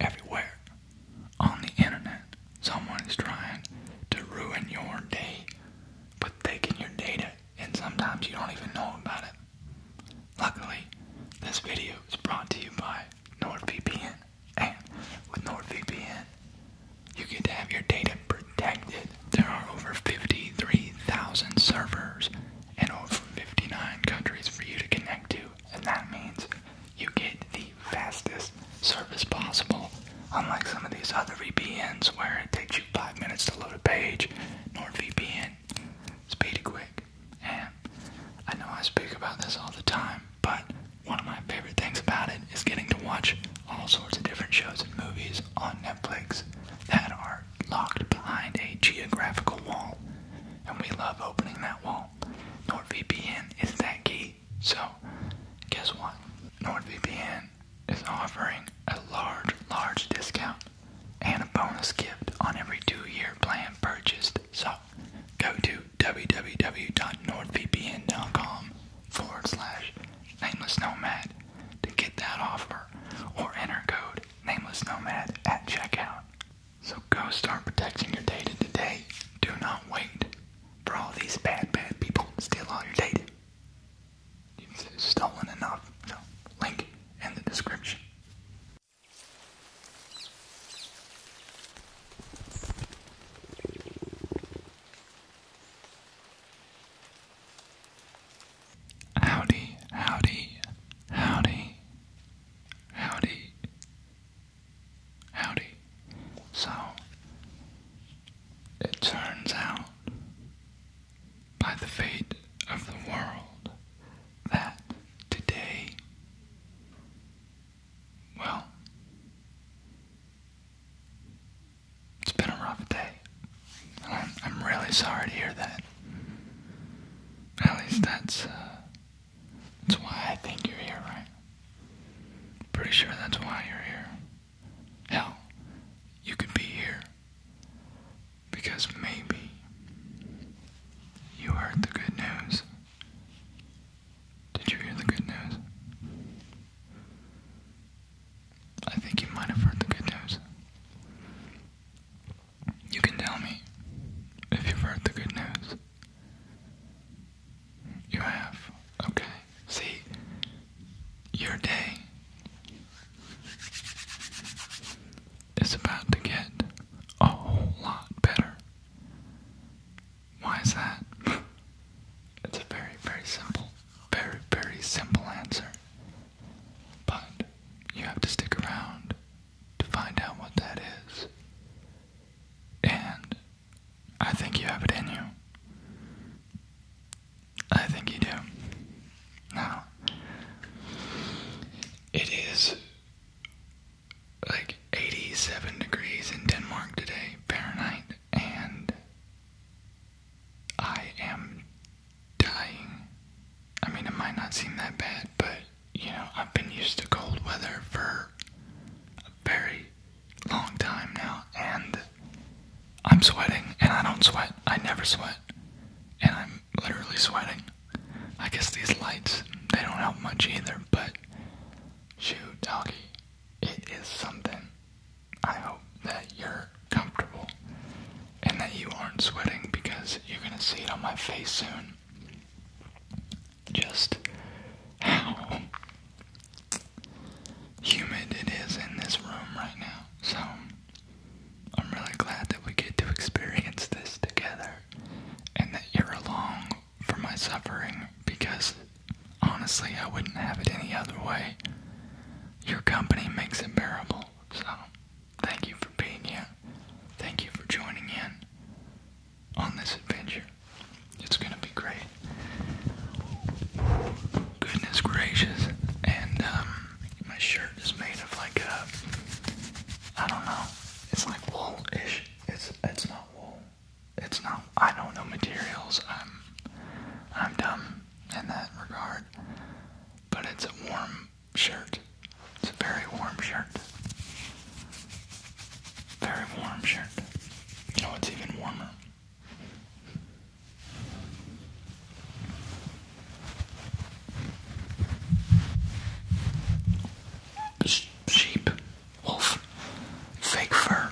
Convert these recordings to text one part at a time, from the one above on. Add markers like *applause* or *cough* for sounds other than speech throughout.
Everywhere on the internet, someone is trying to ruin your day by taking your data, and sometimes you don't even know about it. Luckily, this video is brought to you by NordVPN, and with NordVPN, you get to have your data protected. There are over 53,000 servers and over 59 countries for you to connect to, and that means you get the fastest service possible. Unlike some of these other VPNs where it takes you five minutes to load a page, NordVPN is pretty quick. And I know I speak about this all the time, but one of my favorite things about it is getting to watch all sorts of different shows and movies on Netflix that are locked behind a geographical wall. And we love opening that wall channel. NordVPN is that key. So, guess what? NordVPN is offering a large, large discount and a bonus gift on every two year plan purchased. So, go to www.nordvpn.com forward slash nameless nomad to get that offer or enter code nameless nomad at checkout. So go start protecting your data today. Do not wait for all these bad, bad people to steal all your data. You've stolen enough. So link in the description. Howdy, howdy, howdy, Howdy. Howdy. So, it turns out, by the fate of the world, that today, well, it's been a rough day. I'm, I'm really sorry to hear that. At least that's uh, that's why I think you're here, right? Pretty sure that's why you're here. Hell, you could be here because maybe you heard the good news. Did you hear the good news? I think you might have heard the good news. You can tell me if you've heard the good news. You have. Okay. See, your day is about to get a whole lot better. Why is that? It's a very, very simple, very, very simple answer. But you have to stick around to find out what that is. And I think you have it in you. I think you do. Now, it is like 87 degrees in Denmark today, Fahrenheit, and I am dying. I mean, it might not seem that bad, but you know, I've been used to cold weather for a very long time now, and I'm sweating, and I don't sweat. I never sweat, and I'm literally sweating. I guess these lights, they don't help much either, but shoot, doggy, it is something. I hope that you're comfortable and that you aren't sweating because you're gonna see it on my face soon. Just how humid it is in this room right now. So I'm really glad that we get to *laughs* experience this together and that you're along for my suffering because honestly, I wouldn't have it any other way. Your company makes it bearable, so Thank you for being here. Thank you for joining in on this adventure. It's gonna be great. Goodness gracious. And um, my shirt is made of like a uh, I don't know. It's like wool ish. It's it's not wool. It's not I don't know materials. I'm I'm dumb in that regard. But it's warm shirt. It's a very warm shirt. Very warm shirt. You know it's even warmer. sheep, wolf, fake fur.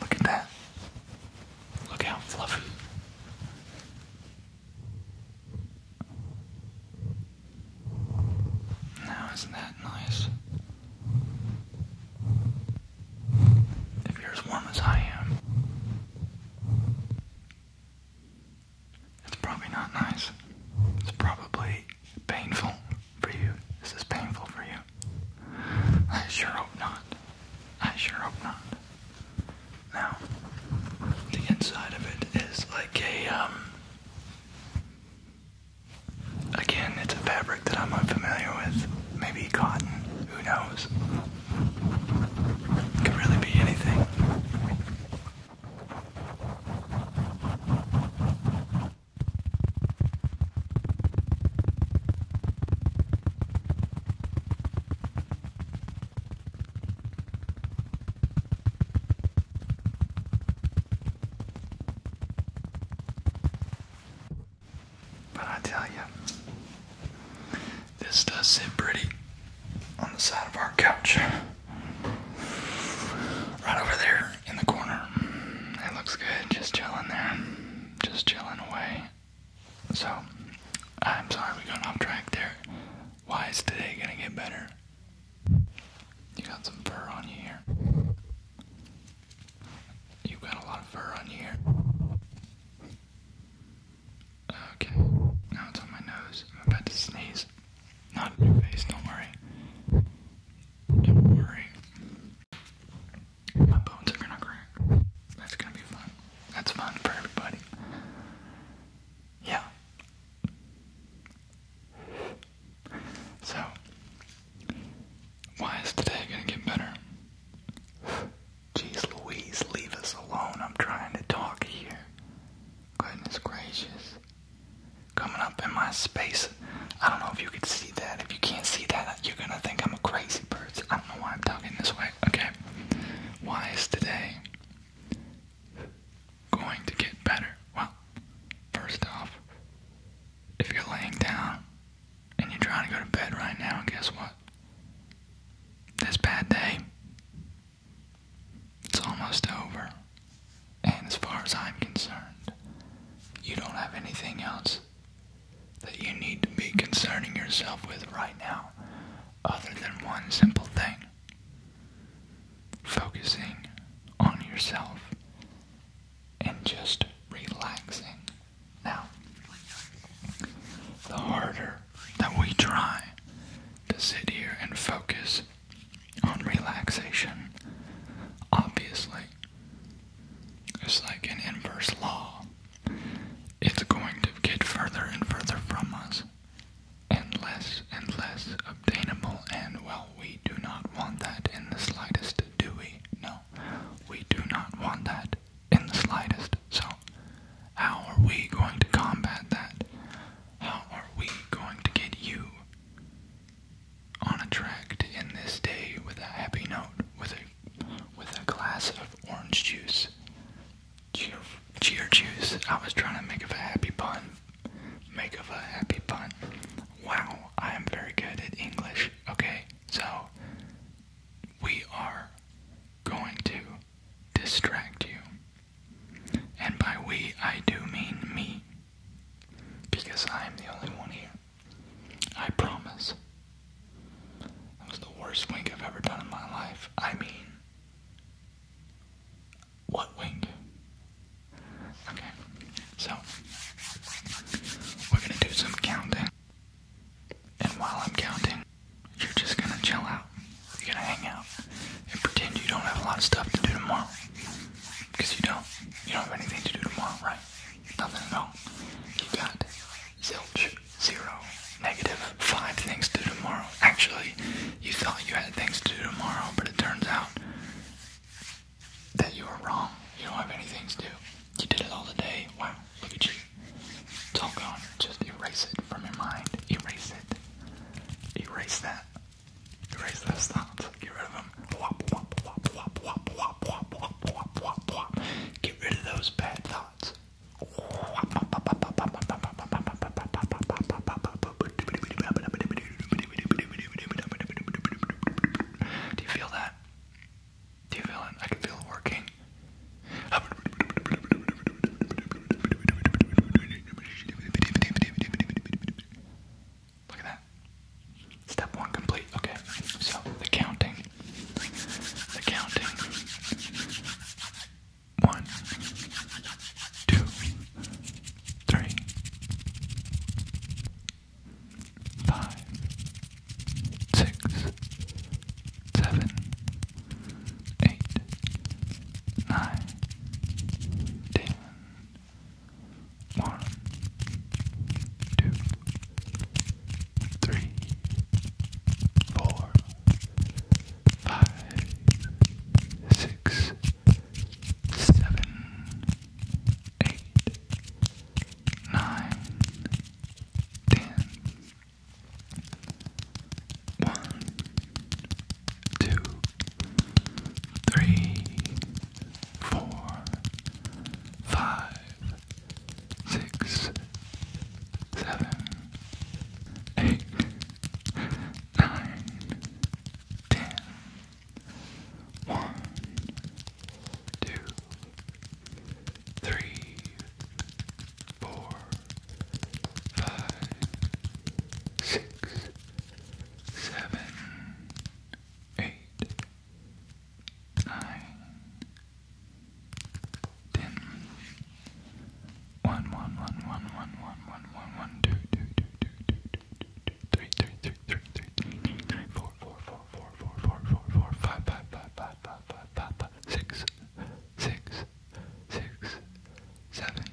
Look at that. Look how fluffy. Now, isn't that nice? If you're as warm as I am, it's probably not nice. It's probably painful for you. This is painful for you. I sure hope not. I sure hope not. Now, the inside of it is like a, um, again, it's a fabric that I'm unfamiliar with. Maybe cotton, who knows? Could really be anything. But I tell you, this does sit pretty on the side of our couch. Right over there in the corner. It looks good, just chilling there. Just chilling away. So, I'm sorry we got off track there. Why is today gonna get better? You got some fur on you here. you got a lot of fur on you here. Okay, now it's on my nose. I'm about to sneeze. Not in your face, don't worry. Don't worry. My bones are gonna crack. That's gonna be fun. That's fun for everybody. Yeah. So, why is today gonna get better? Jeez Louise, leave us alone. I'm trying to talk here. Goodness gracious. Coming up in my space. I don't know if you can see that. If you can't see that, you're gonna think I'm a crazy person. I don't know why I'm talking this way. Okay. Why is today going to get better? Well, first off, if you're laying down and you're trying to go to bed right now, guess what? This bad day, it's almost over. And as far as I'm concerned, you don't have anything else that you need to be concerning yourself with right now, other than one simple thing focusing on yourself and just relaxing. Now, the harder that we try to sit here and focus on relaxation, obviously, it's like an inverse law it's going to get further and further from us and less and less obtainable. And well, we do not want that in the slightest, do we? No, we do not want that in the slightest. So, how are we going to combat that? How are we going to get you on a track to end this day with a happy note, with a with a glass of orange juice. Cheer, cheer juice. I was trying to make of a happy pun. Make of a happy pun. Wow, I am very good at English. Okay, so we are going to distract you. And by we, I do mean me. Because I am the only one here. I promise. That was the worst wink I've ever done in my life. I mean, what wink? Okay, so we're gonna do some counting. And while I'm counting, you're just gonna chill out. You're gonna hang out and pretend you don't have a lot of stuff to do tomorrow. Because you don't. You don't have anything to do tomorrow, right? Nothing at all. You got zilch, zero, negative five things to do tomorrow. Actually, you thought you had things to do tomorrow, but it turns out that you were wrong. You don't have anything to do. You did it all today. Wow, look at you. It's all gone. Just erase it from your mind. Erase it. Erase that. Erase those thoughts. Get rid of them. Get rid of those bad thoughts. Do you feel that? Do you feel it? I can feel it working. Look at that. Step one complete. Okay, so the counting. The counting. One, two, three, five, six, seven, eight, nine, ten. One, two, three, four, five, six, seven, eight, nine, ten. One, two, three, four, five, six, seven, eight, nine, ten. One, two, three, four, five, six, seven, eight nine, ten. One, one, one, one, one, one, one, one, one, two, two, two, two, two, two, two, two, three, three, three, three, three, three, three, three, four, four, four, four, four, four, four, four, five, five, five, five, five, five, five, five, six, six, six, seven,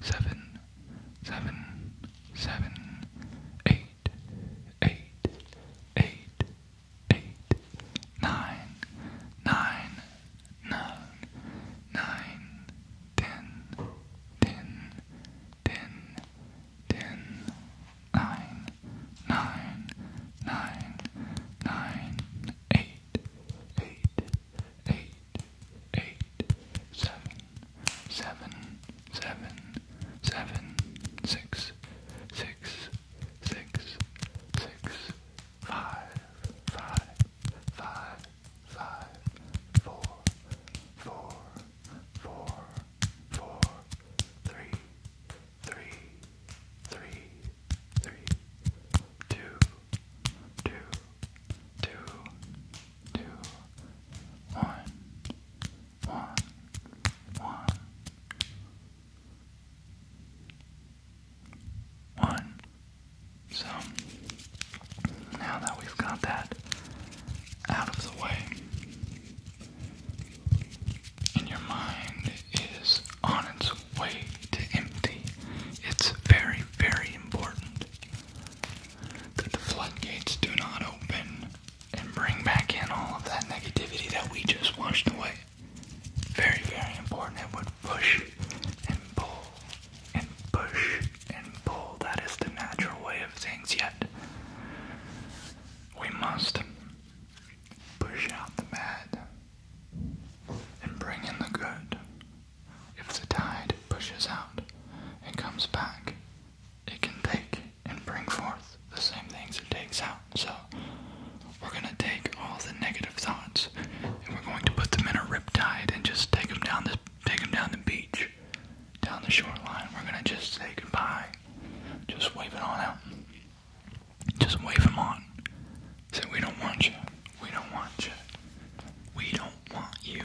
seven, seven, seven, eight eight, eight, eight, nine, nine, nine, nine, ten, ten, ten, ten, nine, nine, nine, nine, eight, eight, eight, eight, seven, seven, seven, seven, six, six, six, six, five, five, five, five, four, four, four, four, three, three, three, three, two, two, two, two, one, one, one, one. So now that we've got that out of the way, and your mind is on its way to empty, it's very, very important that the floodgates do not open and bring back in all of that negativity that we just washed away. Very, very important. It would push and pull and push and pull. That is the natural way of things, yet we must push out the bad and bring in the good. If the tide pushes out and comes back, it can take and bring forth the same things it takes out. So we're gonna take all the negative thoughts and we're going to put them in a riptide and just take them down the take them down the beach, down the shoreline. We're gonna just say goodbye, just wave it on out, just wave them on. Say we don't want you, we don't want you, we don't want you.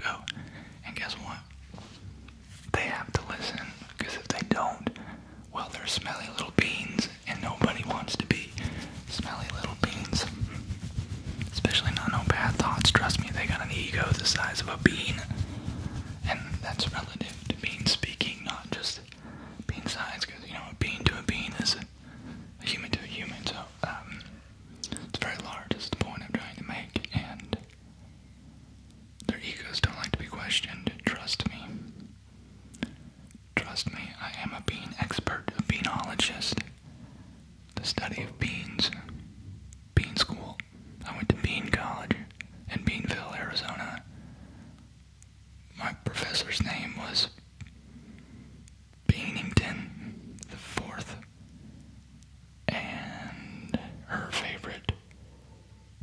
go. And guess what? They have to listen, because if they don't, well, they're smelly little beans, and nobody wants to be smelly little beans. Especially not no bad thoughts. Trust me, they got an ego the size of a bean. And that's relative to bean speaking, not just bean size, because, you know, a bean to a bean is a human to a human, so, um, it's very large, is the point I'm trying to make, and their egos don't like to be questioned. Trust me. Trust me, I am a bean expert, a beanologist. The study of beans. Bean school. I went to Bean College in Beanville, Arizona. My professor's name was Beanington the Fourth and her favorite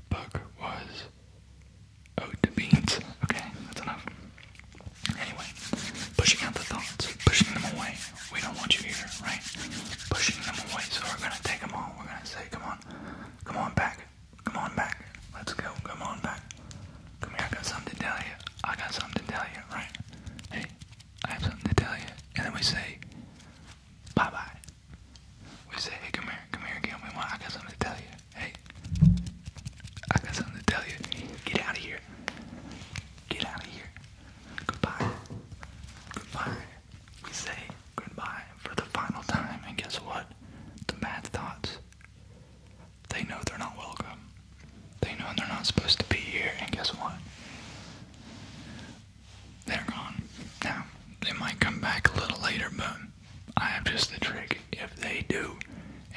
book was Ode to Beans. Okay, that's enough. Anyway, pushing out the thoughts, pushing them away. We don't want you here, right? Pushing them away, so we're gonna take them all. We're gonna say, come on, come on back, come on back. Let's go, come on back. Come here, I got something to tell you. I got something to tell you, right? Hey, I have something to tell you. And then we say, Bye bye. We say, hey, come here, come here, Gilman. I got something to tell you. Hey, I got something to tell you. Get out of here. Get out of here. Goodbye. Goodbye. We say goodbye for the final time, and guess what? The bad thoughts. They know they're not welcome. They know they're not supposed to be here, and guess what? they're gone. Now, they might come back a little later, but I have just the trick. If they do,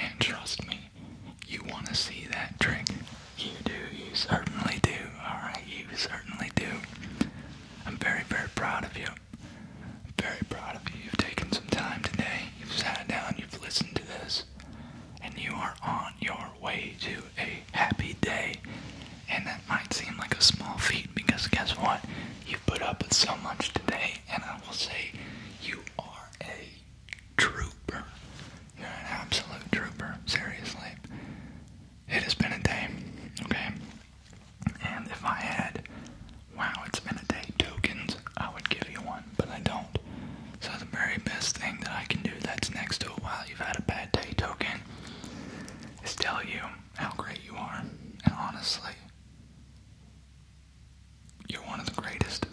and trust me, you want to see that trick. You do, you certainly do, alright? You certainly do. I'm very, very proud of you. I'm very proud of you. You've taken some time today. You've sat down, you've listened to this, and you are on your way to a happy day. And that might seem like a small feat because guess what? You've put up with so much today, and I will say you are a trooper. You're an absolute trooper, seriously. It has been a day, okay? And if I had, wow, it's been a day tokens, I would give you one, but I don't. So the very best thing that I can do that's next to a while you've had a bad day token is tell you how great you are. And honestly, you're one of the greatest.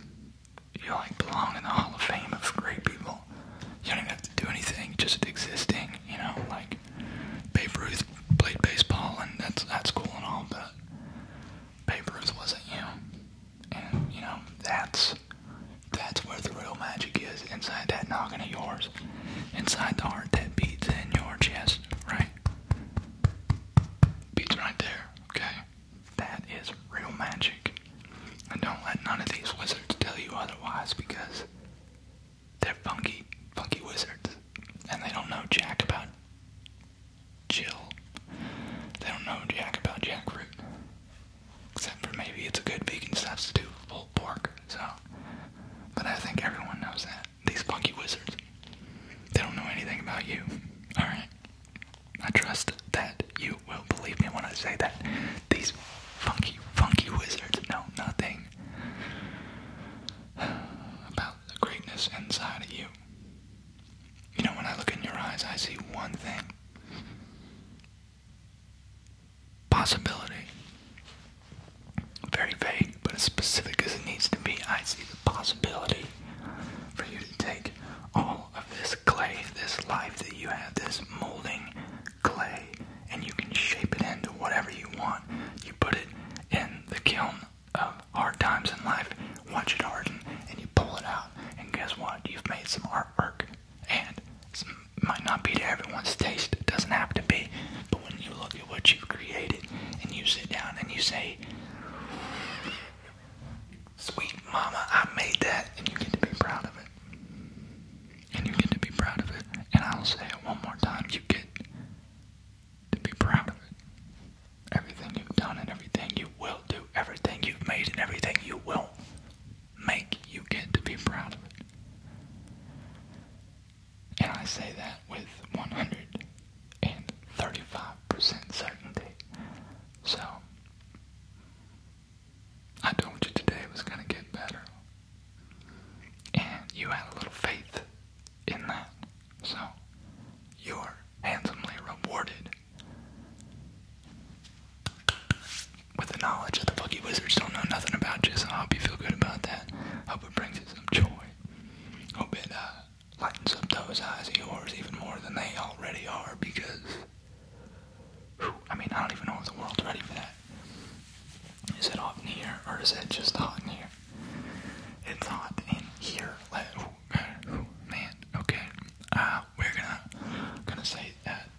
You like belong in the Hall of Fame of great people. You don't even have to do anything, just existing, you know, like Babe Ruth played baseball and that's that's cool and all, but Babe Ruth wasn't you. And you know, that's that's where the real magic is, inside that noggin of yours. Inside the heart that beats in your chest, right? Beats right there, okay? That is real magic. And don't let none of these wizards tell you otherwise because they're funky, funky wizards. And they don't know jack about Jill. They don't know jack about jackfruit. Except for maybe it's a good vegan substitute for pork, so. But I think everyone knows that. These funky wizards. They don't know anything about you. Alright? I trust that you will believe me when I say that. These funky, funky wizards know nothing about the greatness inside of you. You know, when I look in your eyes, I see one thing possibility. Very vague, but as specific as it needs to be. I see the possibility for you to take all of this clay, this life that you have, this molding clay, and you can shape it into whatever you want. You put it in the kiln of hard times in life, watch it harden, and you pull it out. And guess what? You've made some artwork and it might not be to everyone's taste, it doesn't have to be, but when you look at what you've created and you sit down and you say, Sweet mama, I made that, and you get to be proud of it. And you get to be proud of it. And I'll say it one more time you get to be proud of it. Everything you've done and everything you will do, everything you've made and everything you will make you get to be proud of it. And I say that with 135% certainty. So, I told you today it was going to get better. And you had a little faith in that. So, you're handsomely rewarded with the knowledge that the boogie wizards don't know nothing about you, so I hope you feel good about that. Hope it brings you some joy. Hope it uh, lightens up those eyes of yours even more than they already are because. I mean, I don't even know if the world's ready for that. Is it hot in here or is it just hot in here? It's hot in here. Let, man, okay. Uh, we're gonna gonna say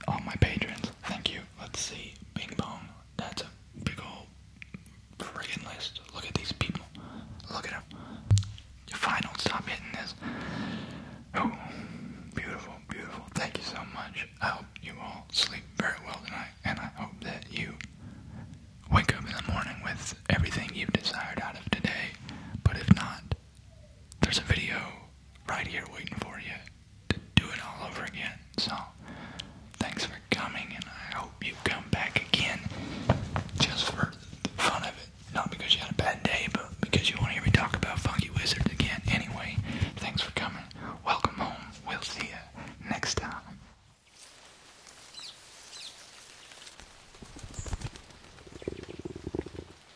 all my patrons, thank you. Let's see, Bing Bong. That's a big old friggin' list. Look at these people. Look at them. You're fine. Don't stop hitting this. Oh, beautiful, beautiful. Thank you so much. I hope you all sleep very well tonight, and I hope that you wake up in the morning with everything you've desired out of today. But if not, there's a video right here waiting for you to do it all over again. So, thanks for coming, and I hope you come back again just for the fun of it. Not because you had a bad day, but because you want to hear me talk about Funky Wizard again. Anyway, thanks for coming. Welcome home. We'll see you next time.